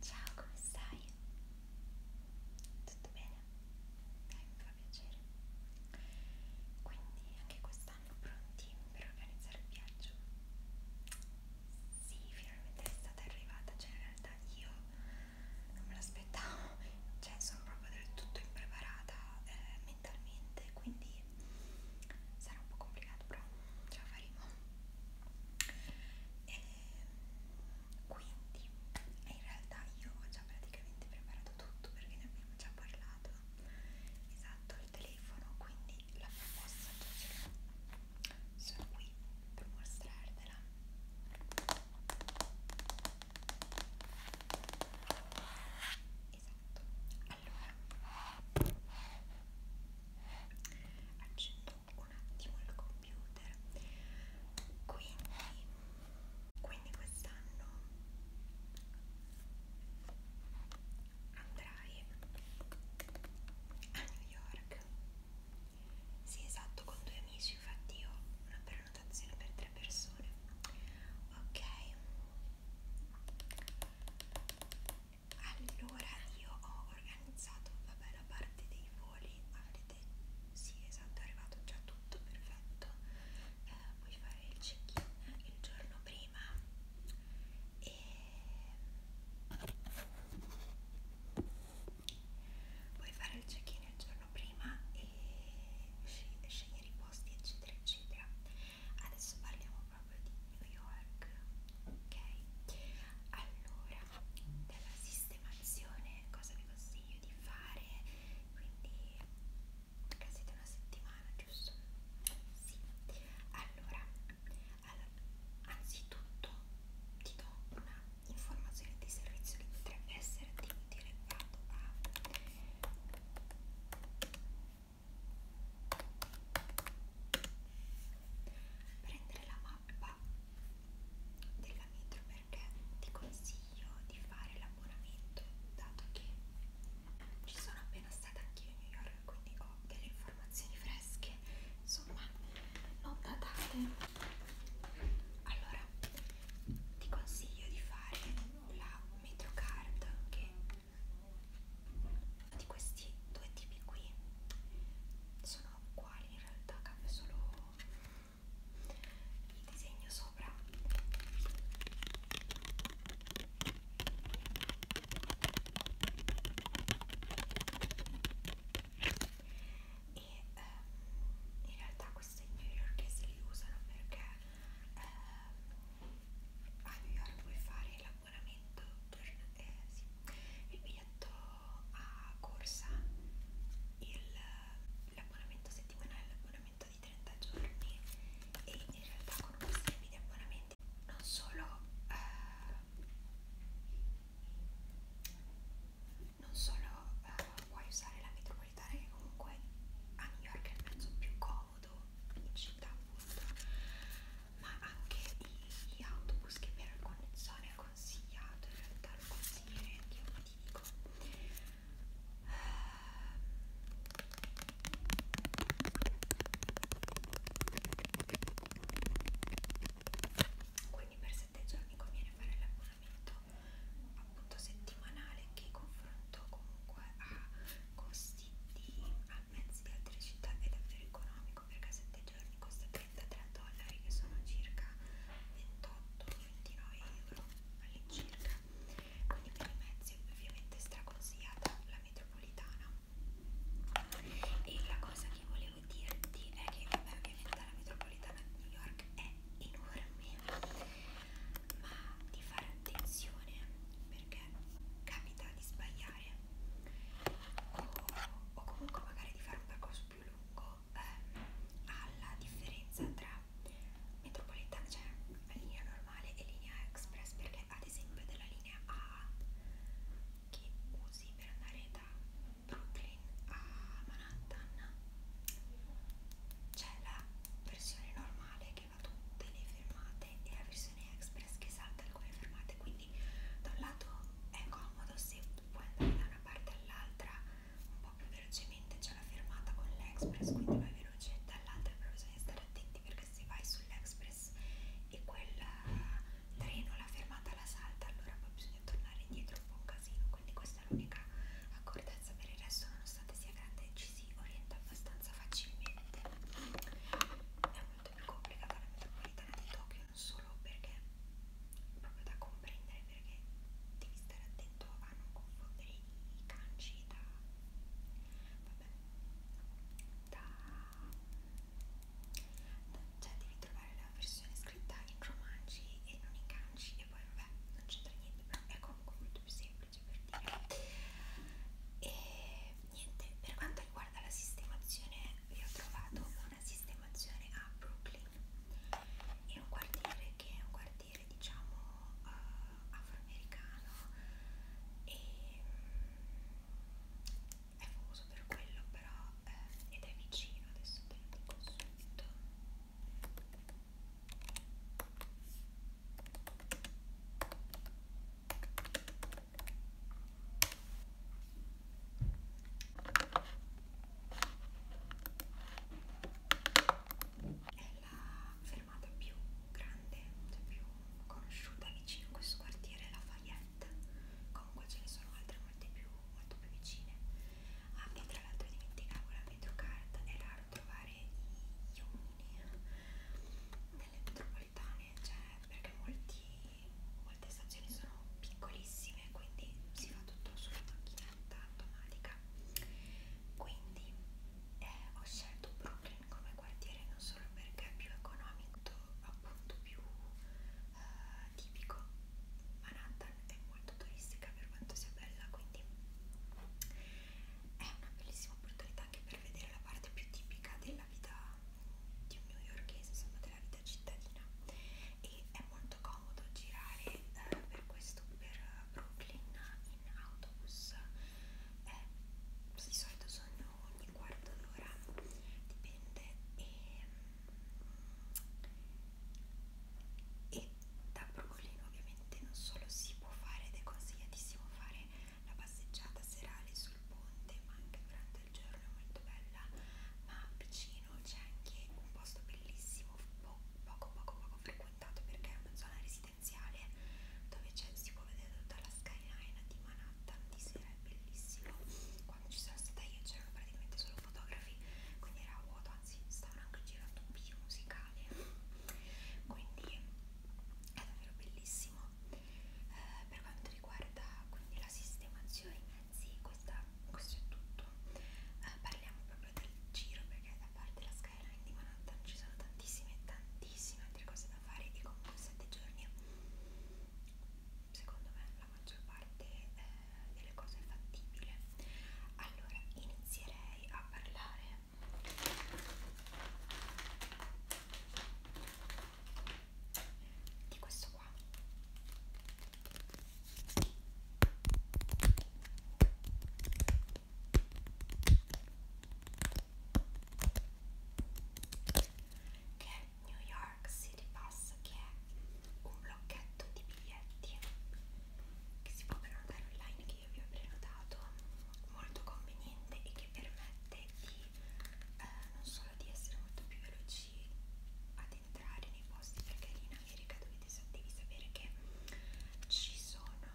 Ciao, come stai? Tutto bene? Dai, mi fa piacere. Quindi anche quest'anno pronti per organizzare il viaggio? Sì, finalmente è stata arrivata, cioè in realtà io non me l'aspettavo, cioè sono proprio del tutto impreparata eh, mentalmente, quindi sarà un po' complicato, però ce la faremo. E ehm, quindi in realtà io ho già praticamente preparato tutto perché ne abbiamo già parlato esatto al telefono quindi la proposta già ce l'ho sono qui per mostrartela esatto allora accendo un attimo il computer quindi, quindi quest'anno andrai a New York sì esatto con due amici infatti io ho una prenotazione per tre persone ok allora io ho organizzato vabbè la parte dei voli avete sì esatto è arrivato già tutto perfetto eh, puoi fare il check-in il giorno prima e puoi fare il check-in il giorno prima e sceg scegliere i posti eccetera eccetera adesso parliamo proprio di New York ok allora della sistemazione cosa vi consiglio di fare quindi perché siete una settimana giusto? sì allora, allora anzitutto ti do una informazione di servizio che potrebbe essere di utile dato a prendere la mappa della metro perché ti consiglio di fare l'abbonamento dato che ci sono appena stata anch'io a New York quindi ho delle informazioni fresche insomma non datate allora ti consiglio di fare la metrocard che di questi due tipi qui sono uguali in realtà cambia solo il disegno sopra e ehm, in realtà queste New Yorkese li usano perché ehm, a New York puoi fare l'abbonamento eh, sì, il biglietto a corsa l'abbonamento settimanale, l'abbonamento di 30 giorni e in realtà con un sistema di abbonamenti non solo eh, non solo eh, puoi usare la metropolitana che comunque a New York è il mezzo più comodo in città appunto ma anche gli autobus che per alcune zone è consigliato, in realtà lo consiglierei anche io, ti dico. Eh, quindi per 7 giorni conviene fare l'abbonamento appunto settimanale che confronto comunque a costi di mezzi di altre città è davvero economico 3,7 giorni costa 33 dollari che sono circa 28-29 euro all'incirca quindi per i mezzi ovviamente straconsigliata la metropolitana e la cosa che volevo dirti è che vabbè, ovviamente la metropolitana di New York è enorme ma di fare attenzione perché capita di sbagliare o, o comunque magari di fare un percorso più lungo eh, alla differenza tra metropolitana, cioè la linea normale e linea express perché ad esempio della linea A che usi per andare da Brooklyn a Manhattan c'è la versione normale che va tutte le fermate e la versione express che salta alcune fermate quindi quindi da un lato è comodo se puoi andare da una parte all'altra un po' più velocemente, c'è la fermata con l'Express, quindi vai veloce, dall'altra però bisogna stare attenti perché se vai sull'Express e quel eh, treno, la fermata la salta, allora poi bisogna tornare indietro un po' un casino, quindi questa è l'unica accortezza per il resto, nonostante sia grande ci si orienta abbastanza facilmente. È un molto più complicata la metropolitana di Tokyo non solo perché proprio da comprendere perché devi stare attento a non confondere i kanji da vabbè da, da cioè devi trovare la versione scritta in romanzi e non in kanji e poi vabbè non c'entra niente però è comunque molto più semplice per dire e niente per quanto riguarda la sistemazione vi ho trovato una sistemazione a Brooklyn è un quartiere che è un quartiere diciamo uh, afroamericano e um, è famoso per quello però eh, ed è vicino adesso te lo dico subito è la fermata più grande, cioè più conosciuta vicino a questo quartiere, la Fayette. Comunque ce ne sono altre molte più, molto più vicine. Ah, e tra l'altro dimenticavo la metrocard, è raro trovare gli uomini nelle metropolitane enormi, cioè, perché molti, molte stazioni sono piccolissime, quindi si fa tutto sulla macchinetta automatica. Quindi eh, ho scelto Brooklyn come quartiere non solo perché è più economico, appunto più eh, tipico. Manhattan è molto turistica per quanto sia bella, quindi è una bellissima opportunità anche per vedere la parte più tipica della vita di un newyorkese, insomma della vita cittadina e è molto comodo girare eh, per questo per Brooklyn in autobus eh, di solito sono ogni quarto d'ora dipende e, e da Brooklyn ovviamente non solo si può fare ed è consigliatissimo fare la passeggiata serale sul ponte ma anche durante del giorno è molto bella ma vicino c'è anche un posto bellissimo po poco poco poco frequentato perché è una zona residenziale dove si può vedere tutta la skyline di Manhattan di sera è bellissimo quando ci sono stata io c'erano praticamente solo fotografi quindi era vuoto anzi stavano anche girando un video musicale quindi è davvero bellissimo eh, per quanto riguarda quindi la sistemazione dei mezzi questa, questo è tutto eh, parliamo proprio del giro perché da parte la skyline di Manhattan ci sono tantissime tantissime altre cose da fare e comunque 7 giorni secondo me la maggior parte eh, delle cose è fattibile allora inizierei a parlare di questo qua che è New York City Pass che è un blocchetto di biglietti che si può prenotare online che io vi ho prenotato molto conveniente e che permette di eh, non solo di essere molto più veloci ad entrare nei posti perché lì in America dovete, devi sapere che ci sono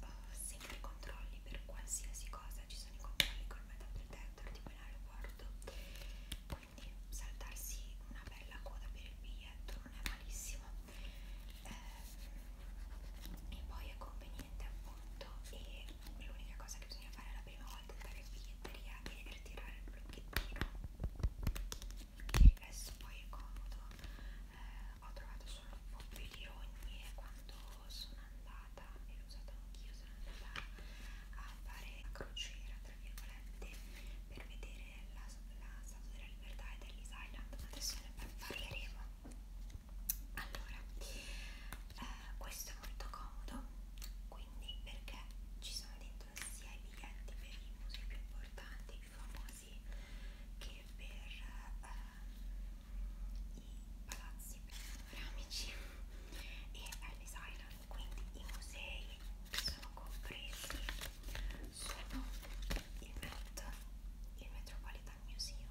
uh, sempre i controlli per qualsiasi cosa, ci sono i controlli col metal detector tipo in aeroporto quindi saltarsi una bella coda per il biglietto non è malissimo eh, e poi è conveniente appunto e l'unica cosa che bisogna fare la prima volta è andare in biglietteria e ritirare il blocchettino che adesso poi è comodo eh, ho trovato solo un po' più di ogni e quando sono andata e l'ho usato anch'io sono andata a fare la crociera tra virgolette per vedere la, la Statua della Libertà e dell'Is Island adesso ne parleremo allora eh, questo è molto comodo quindi perché ci sono dentro sia i biglietti per i musei più importanti, più famosi, che per eh, i palazzi panoramici e Ellis Island, quindi i musei che sono compresi sono il Met, il Metropolitan Museum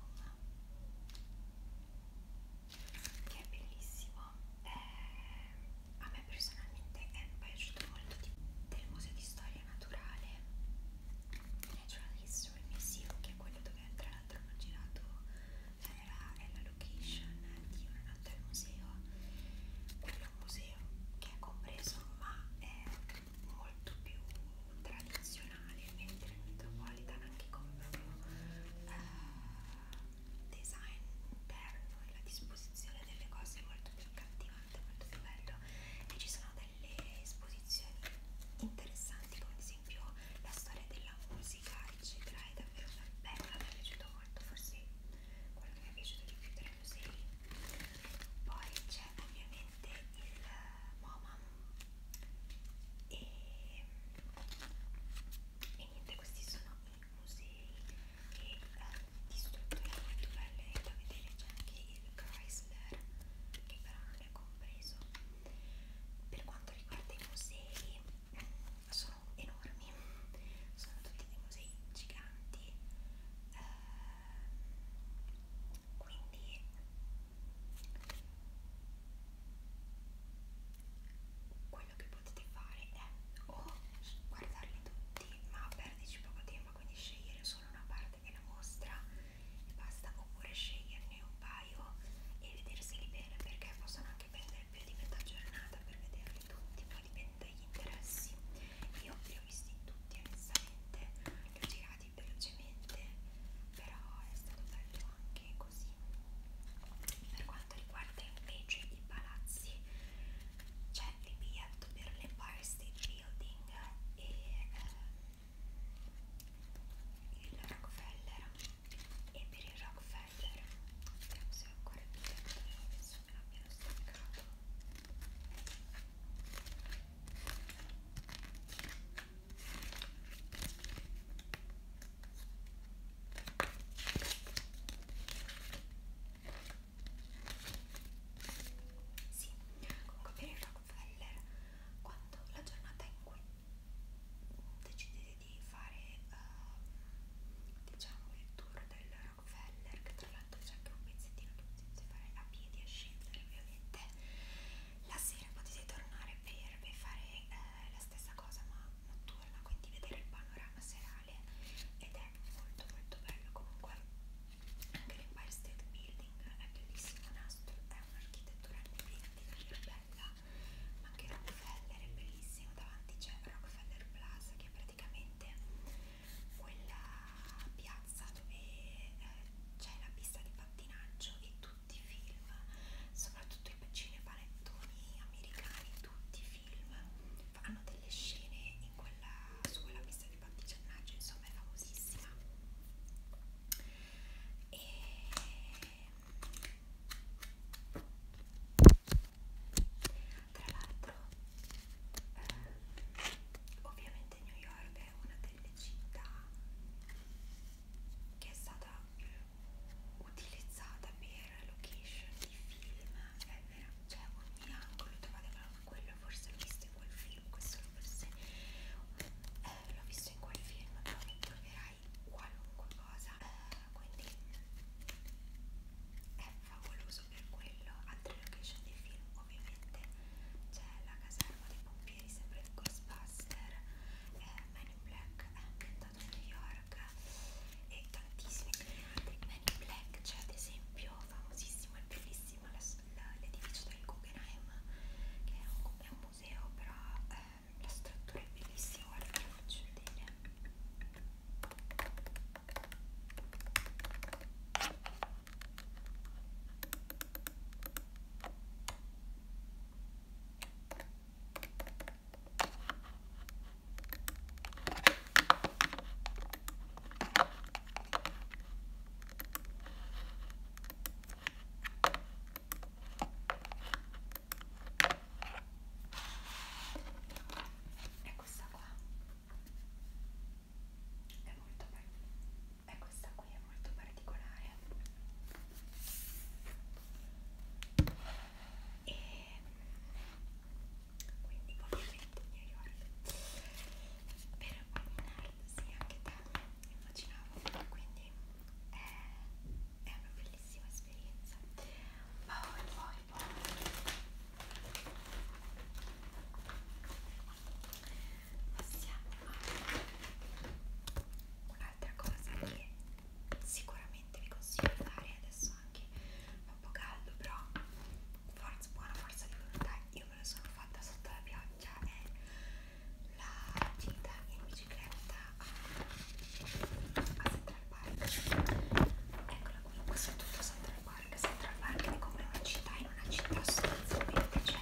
che è bellissimo eh, a me personalmente è piaciuto molto di, del museo di storia naturale Natural History Museum che è quello dove tra l'altro hanno girato cioè, eh, la, è la location di una notte al museo quello è un museo che è compreso ma è molto più tradizionale mentre il Metropolitan anche con proprio eh, design interno e la disposizione delle cose è molto più accattivante, molto più bello e ci sono delle esposizioni interessanti come ad esempio la storia della musica eccetera è davvero bella, mi è piaciuto molto, forse quello che mi è piaciuto di più tra i musei poi c'è ovviamente il MoMA e e niente questi sono i musei e eh, di strutture molto belle da vedere c'è anche il Chrysler che però non è compreso per quanto riguarda i musei mm, sono enormi sono tutti dei musei giganti eh, quindi quello che potete fare è o guardarli tutti ma perderci poco tempo quindi scegliere solo una parte della mostra e basta oppure sceglierne un paio e vederseli bene perché possono anche prendere più di metà giornata per vederli tutti poi dipende dagli interessi io li ho visti tutti onestamente li ho girati velocemente però è stato bello anche così per quanto riguarda invece i palazzi c'è il biglietto per l'Empire State Building e eh, il Rockefeller e per il Rockefeller vediamo se ho ancora il biglietto penso che l'abbiano staccato sì, comunque per il Rockefeller, quando la giornata in cui decidete di fare uh, diciamo il tour del Rockefeller, che tra l'altro c'è anche un pezzettino che potete fare a piedi a scendere ovviamente, la sera potete tornare per, per fare eh, la stessa cosa ma notturna, quindi vedere il panorama serale ed è molto molto bello comunque anche l'Empire State Building è bellissimo, nastro, è un'architettura indipendente bella, ma anche Rockefeller è bellissimo, davanti c'è Rockefeller Plaza che è praticamente quella piazza dove eh, c'è la pista di pattinaggio e tutti tutti i film, soprattutto i cinepanettoni americani, tutti i film hanno delle scene in quella, su quella pista di battigiannaggio, insomma è famosissima. E... Tra l'altro, eh, ovviamente New York è una delle città che è stata utilizzata per location di film è vera, cioè ogni angolo trovate quello forse l'ho visto in quel film, questo forse eh, l'ho visto in quel film, però mi troverai qualunque cosa, eh, quindi è favoloso per quello, altre location di film ovviamente c'è la caserma dei pompieri sempre in Ghostbuster, eh, Man in Black è eh, ambientata stato a New York e tantissime Men in Black c'è cioè ad esempio famosissimo e bellissimo l'edificio del Guggenheim che è un, è un museo però eh, la struttura è bellissima guarda che faccio vedere è questa qua è molto è questa qui è molto particolare e quindi ovviamente New York per One sì anche te immaginavo quindi è, è una bellissima esperienza poi poi poi passiamo a una l'altra cosa che sicuramente vi consiglio di fare adesso anche fa un po' caldo però forza, buona forza di volontà io me la sono fatta sotto la pioggia è la gita in bicicletta a, a Central Park eccola qui questo è tutto Central Park Central Park è come una città in una città sostanzialmente cioè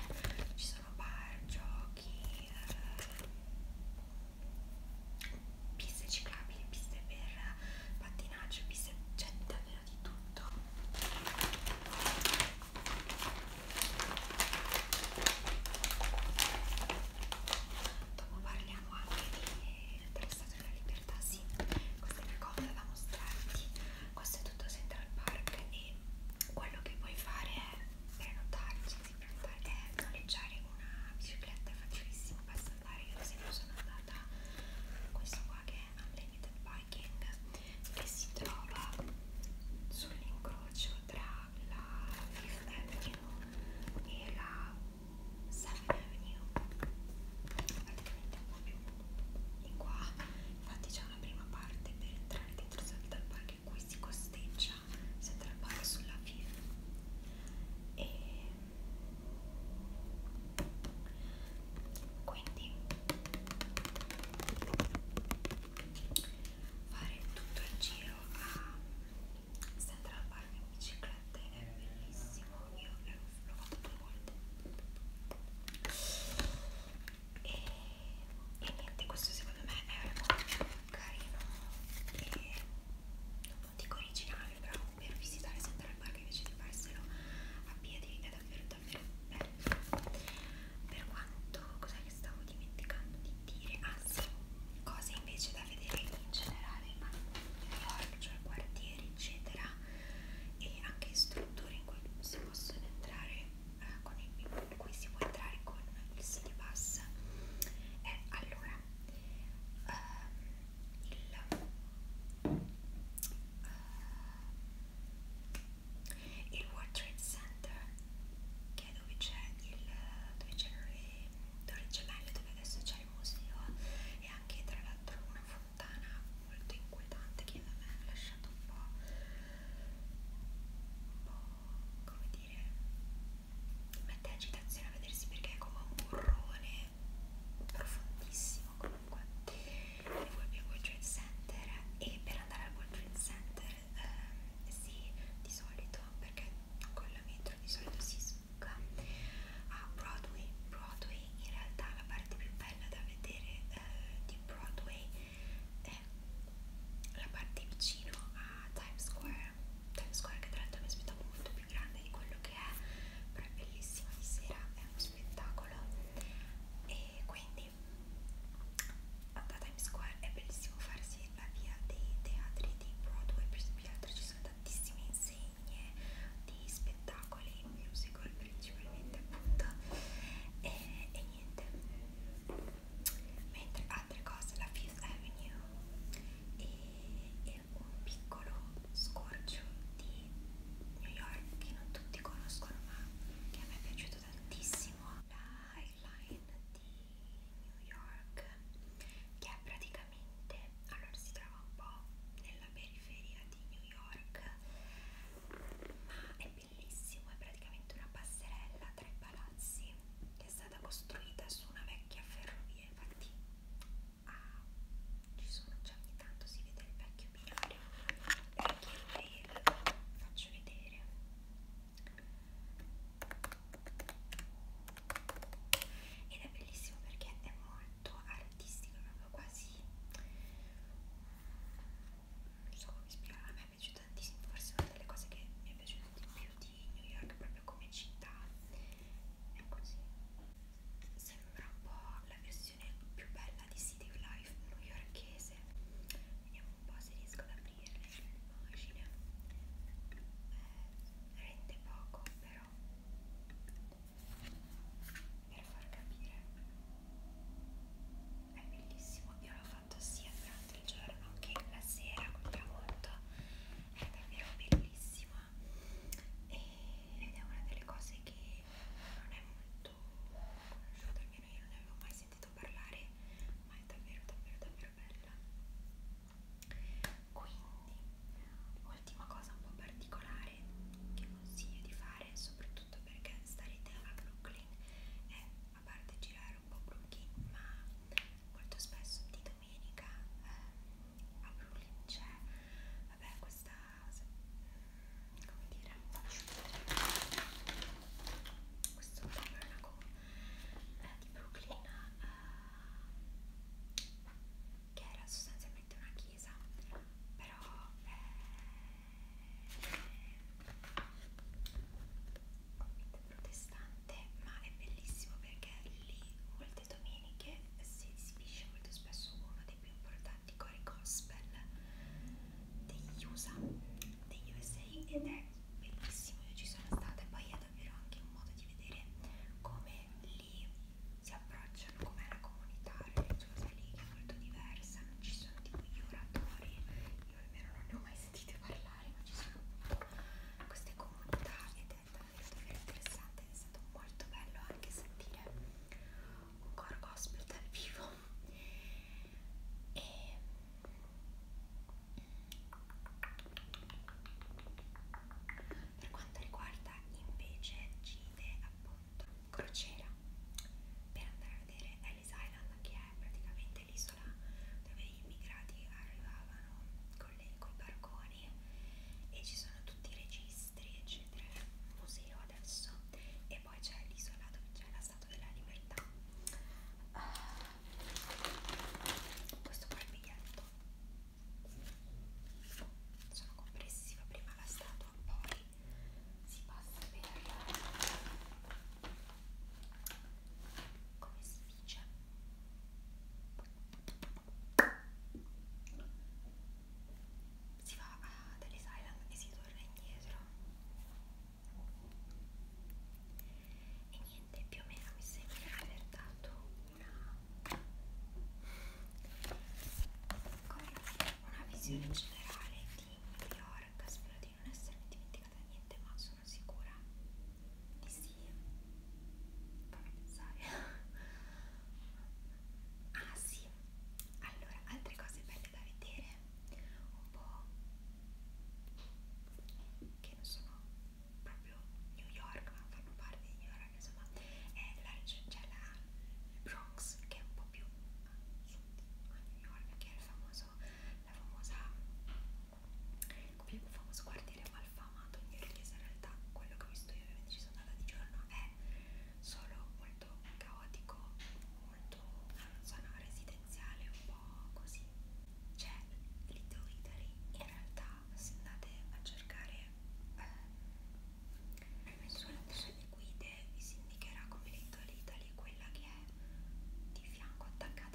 ci sono bar, giochi giochi, eh, piste ciclabili, piste per pattinaggio, piste c'è cioè, davvero di tutto. Dopo parliamo anche di, della Statua della Libertà, sì, questa è una cosa da mostrarti, questo è tutto Central Park e quello che puoi fare è prenotarti si tratta è noleggiare una bicicletta è facilissimo, basta andare, io ad esempio sono andata a questo qua che è Unlimited Biking che si trova sull'incrocio tra la Fifth Avenue e la 7th Avenue praticamente un po' più in qua infatti c'è una prima parte per entrare dentro Central Park in cui si costeggia si attrappato sulla fine e quindi fare tutto il giro a s'attrapparmi in bicicletta è bellissimo io l'ho fatto due volte e, e niente questo secondo me è una mia carino e non dico originale però per visitare Central Park invece di farselo a piedi è davvero davvero bello per quanto cos'è che stavo dimenticando di dire ah sì cose invece da vedere in generale ma New York cioè quartieri eccetera e anche strutture in cui si possono entrare eh, con il qui si può entrare con il City Pass eh, allora ehm, il, eh, il World Trade Center che è dove c'è il dove c'erano le torri gemelle dove adesso c'è il museo e anche tra l'altro una fontana molto inquietante che a me ha lasciato un po' un po' come dire mette agitazione a vedersi perché è come un burrone profondissimo comunque il Volpi World Trade Center e per andare al World Trade Center eh, si di solito perché con la metro di solito si succa a Broadway Broadway in realtà la parte più bella da vedere eh, di Broadway è eh, è la parte vicino a Times Square Times Square che tra l'altro mi aspettavo molto più grande di quello che è però è bellissima di sera è uno spettacolo e quindi a Times Square è bellissimo farsi la via dei teatri di Broadway più di altro ci sono tantissime insegne di spettacoli musical principalmente appunto e, e niente mentre altre cose, la Fifth Avenue e, e un piccolo scorcio di New York che non tutti conoscono ma che a me è piaciuto tantissimo, la Highline di New York che è praticamente, allora si trova un po' nella periferia di New York ma è bellissimo, è praticamente una passerella tra i palazzi che che è stata costruita su una vecchia ferrovia, infatti ah, ci sono già ogni tanto si vede il vecchio binario perché ve lo faccio vedere ed è bellissimo perché è molto artistico, è proprio quasi non so come spiegare, a me è piaciuta tantissimo, forse una delle cose che mi è piaciuta di più di New York proprio come città è così sembra un po' la versione più bella di City of Life newyorkese vediamo un po' se riesco ad aprirle l'immagine cioè, eh, rende poco però per far capire è bellissimo io l'ho fatto sia durante il giorno che la sera col tramonto è davvero bellissima e, ed è una delle cose che non è molto conosciuta, almeno io non ne avevo mai sentito parlare, ma è davvero davvero davvero bella. Quindi, ultima cosa un po' particolare che consiglio di fare, soprattutto perché starete a Brooklyn è, a parte girare diventare un po' crudi, ma molto spesso di domenica eh, a Brooklyn c'è vabbè questa come dire questo tabernacle eh, di Brooklyn eh, che era sostanzialmente una chiesa però eh, convento protestante, ma è bellissimo perché lì molte domeniche si esibisce molto spesso uno dei più importanti cori gospel degli USA, degli USA ed è bellissimo, io ci sono stata e poi è davvero anche un modo di vedere come lì si approcciano, com'è la comunità religiosa lì che è molto diversa, non ci sono tipo gli oratori io almeno non ne ho mai sentite parlare, ma ci sono appunto queste comunità ed è davvero, davvero interessante, è stato molto bello anche sentire un core gospel dal vivo e per quanto riguarda invece Gide appunto crociera per andare a vedere è Ellis Island che è praticamente l'isola dove gli immigrati arrivavano con, le, con i barconi e ci sono tutti i registri eccetera, è un museo adesso e poi c'è l'isola dove c'è la Statua della Libertà uh, questo qua è il biglietto sono compressiva prima la statua poi si passa per come si dice si va a dell'asylum e si torna indietro e niente più o meno mi sembra di aver dato una come dire una visione generale di New York spero di non essermi dimenticata di niente, ma sono sicura di sì. Fammi pensare. ah sì, allora, altre cose belle da vedere, un po' che non sono proprio New York, ma fanno parte di New York, insomma, è la, c'è cioè la Bronx che è un po' più a sud a New York, che è il famoso, la famosa come il famoso quartiere malfamato in Irlese in realtà quello che ho visto io ovviamente ci sono andata di giorno è solo molto caotico molto una zona residenziale un po' così c'è Little Italy in realtà se andate a cercare eh, sulle guide vi si indicherà come Little Italy quella che è di fianco attaccata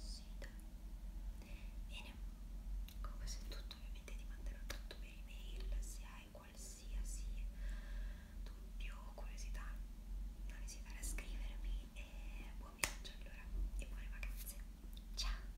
Sì, dai. Bene, con questo è tutto. Ovviamente ti manderò tutto per email. Se hai qualsiasi dubbio o curiosità, non esitare a scrivermi. E buon viaggio allora e buone vacanze. Ciao!